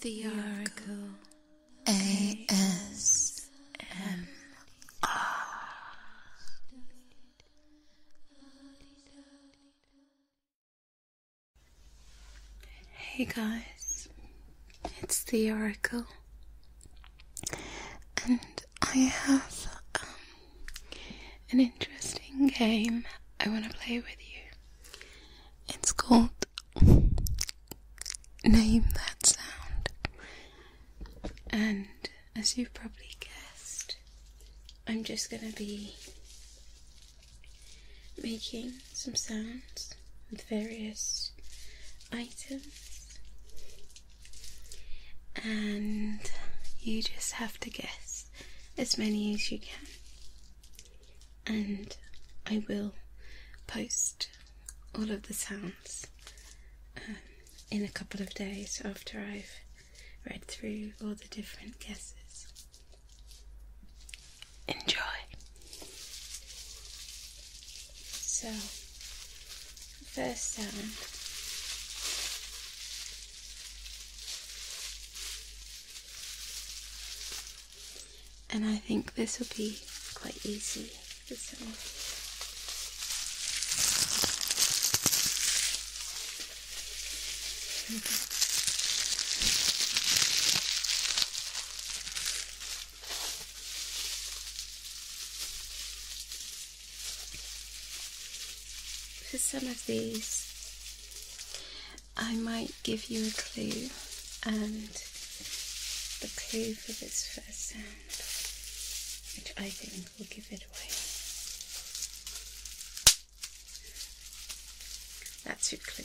The Oracle ASMR. Hey guys, it's the Oracle, and I have um, an interesting game I want to play with you. It's called Name That Sound. And as you've probably guessed, I'm just going to be making some sounds with various items, and you just have to guess as many as you can and I will post all of the sounds um, in a couple of days after I've read through all the different guesses. Enjoy! So, first sound and I think this will be quite easy to For some of these, I might give you a clue, and the clue for this first sound, which I think will give it away. That's your clue.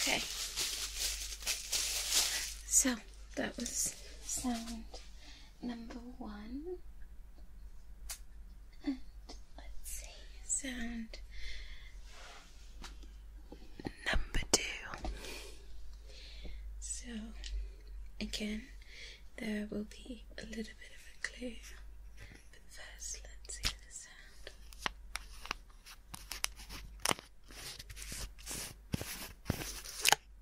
Okay. So that was sound number one. And let's see, sound number two. So, again, there will be a little bit of a clue, but first, let's hear the sound.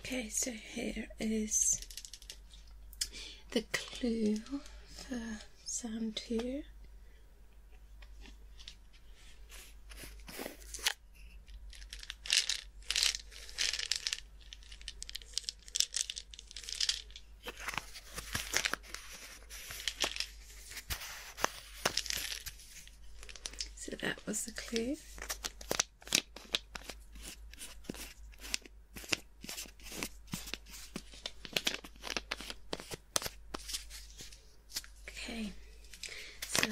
Okay, so here is the clue for sand here. So that was the clue. Okay, so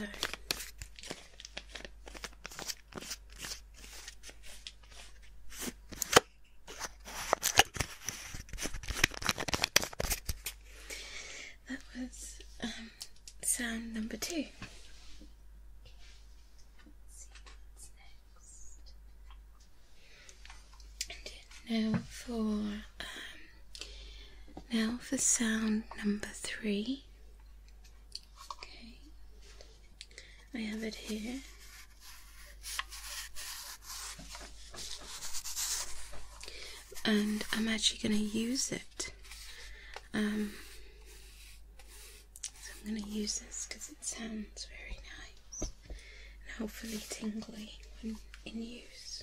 that was um, sound number two. now for um, now for sound number three. Okay. I have it here. And I'm actually going to use it. Um, so I'm going to use this because it sounds very nice and hopefully tingly when in use.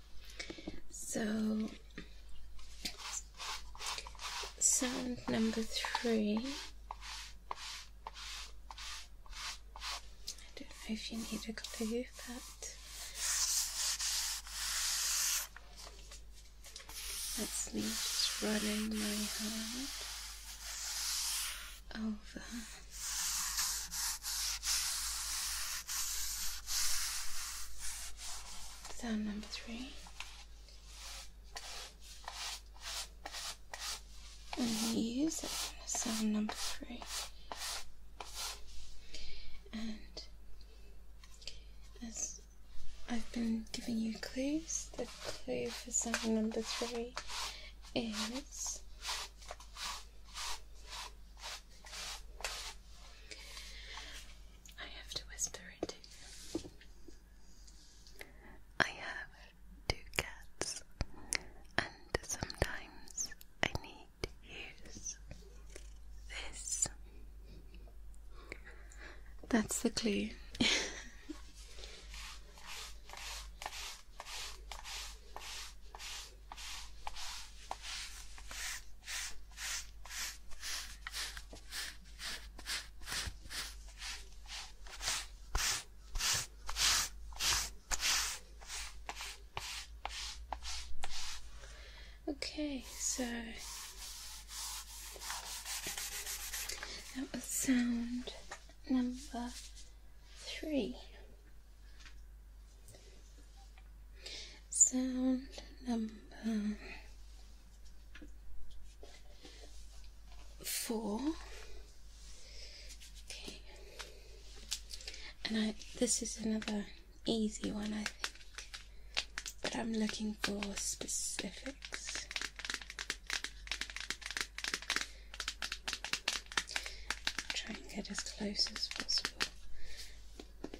So, sound number three. I don't know if you need a clue, but that's me just running my hand over Sound number three. And use it on sound number three. And as I've been giving you clues, the clue for sound number three is I have to whisper it to you. I have two cats, and sometimes I need to use this. That's the clue. Okay, so that was sound number three. Sound number four. Okay. And I this is another easy one I think. But I'm looking for specifics. Try and get as close as possible.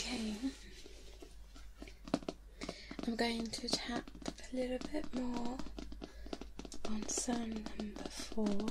Okay, I'm going to tap a little bit more on sound number four.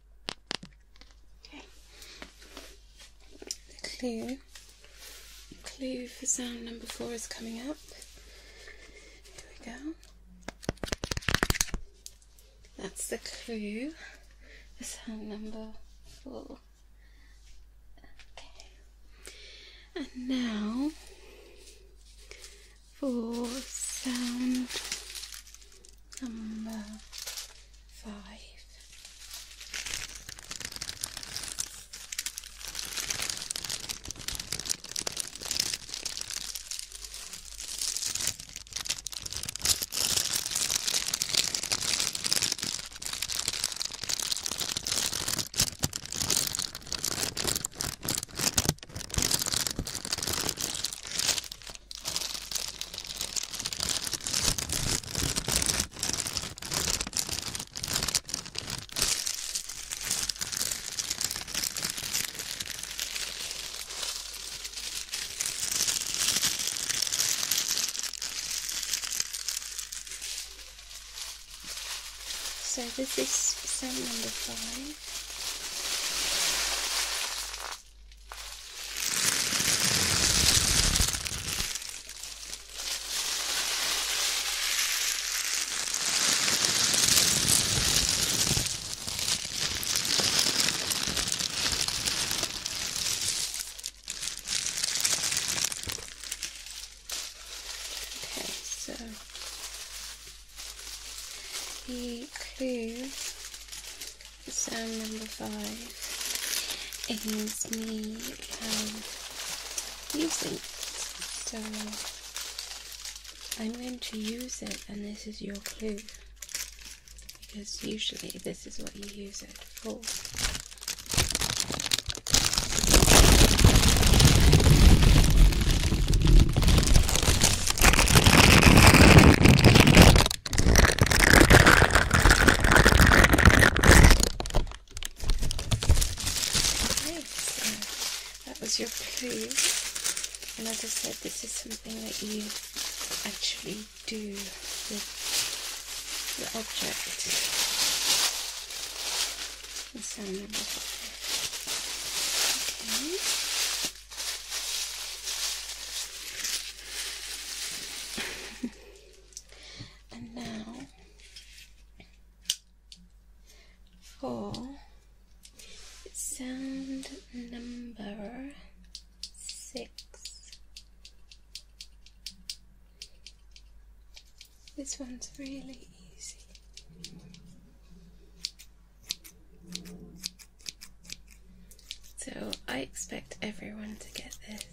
Okay. The clue, clue for sound number four is coming up. Here we go. That's the clue sound number four. Okay. And now for sound number five. So this is set number five in. Okay, so the clue, sound number five, is me um, using So I'm going to use it, and this is your clue because usually this is what you use it for. Okay, so that was your clue. And as I said, this is something that you actually do with the object. And so number five. Okay and now for sound number six. This one's really easy. So I expect everyone to get this.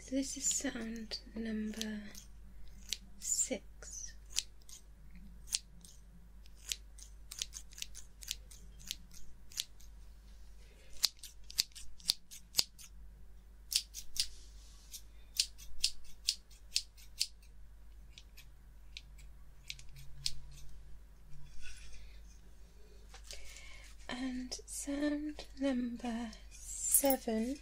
So this is sound number six. And sound number seven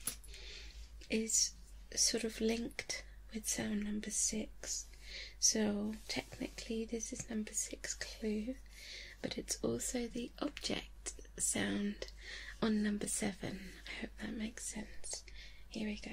is sort of linked with sound number six. So technically, this is number six clue, but it's also the object sound on number seven. I hope that makes sense. Here we go.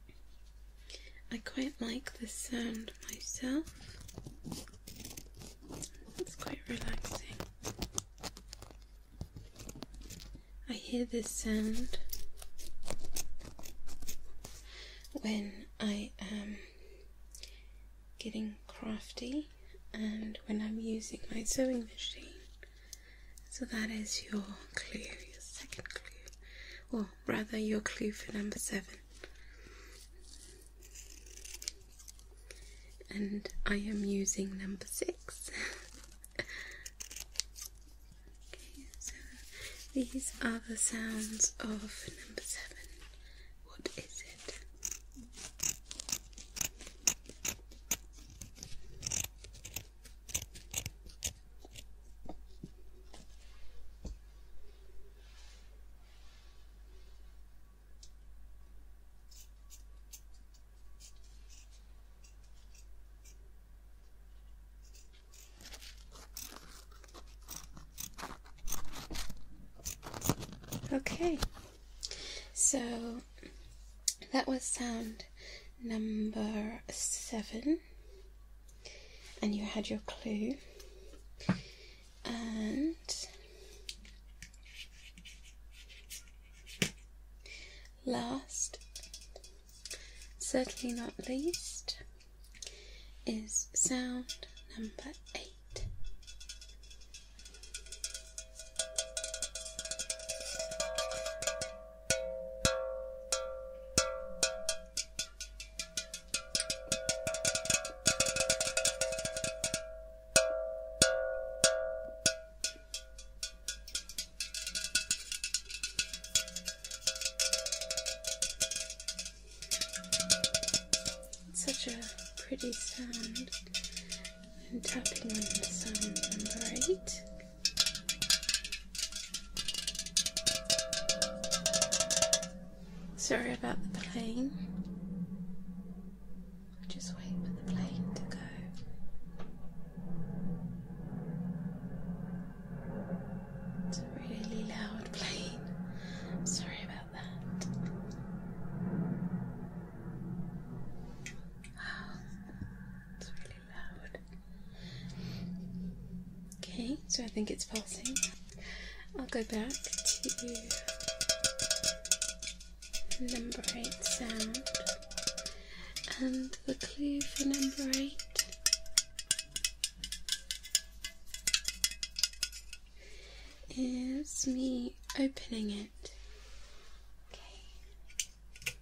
I quite like the sound myself. It's quite relaxing. I hear this sound when I am getting crafty and when I'm using my sewing machine. So that is your clue, your second clue, rather your clue for number seven. And I am using number six. okay, so these are the sounds of number seven. What is it? Okay, so that was sound number seven and you had your clue and last certainly not least is sound number eight such a pretty sound. And tapping on the sound number eight. Sorry about the plane. I'll just wait for the plane to go. It's a really loud plane. sorry about that. Oh, it's Okay, so I think it's pulsing. I'll go back to number 8 sound. And the clue for number 8 is me opening it. Okay.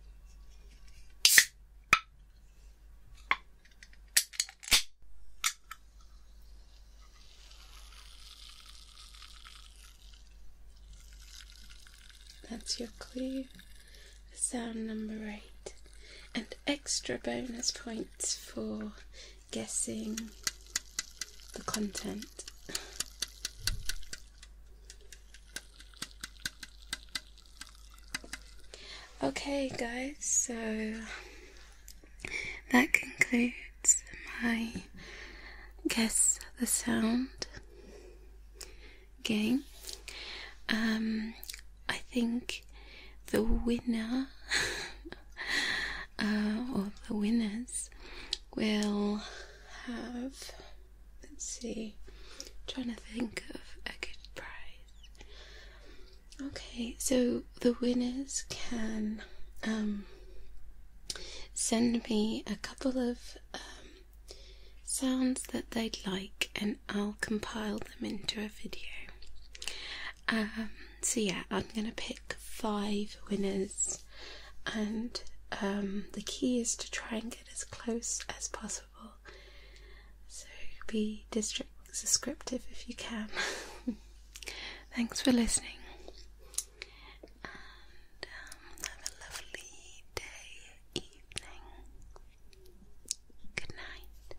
That's your clue. Sound number eight. And extra bonus points for guessing the content. Okay, guys, so that concludes my guess the sound game. Um, I think the winner uh, or the winners will have. Let's see, trying to think of a good prize. Okay, so the winners can um, send me a couple of um, sounds that they'd like, and I'll compile them into a video. Um, so, yeah, I'm gonna pick five winners, and the key is to try and get as close as possible so be district descriptive if you can. Thanks for listening. And um, have a lovely day, evening. Good night.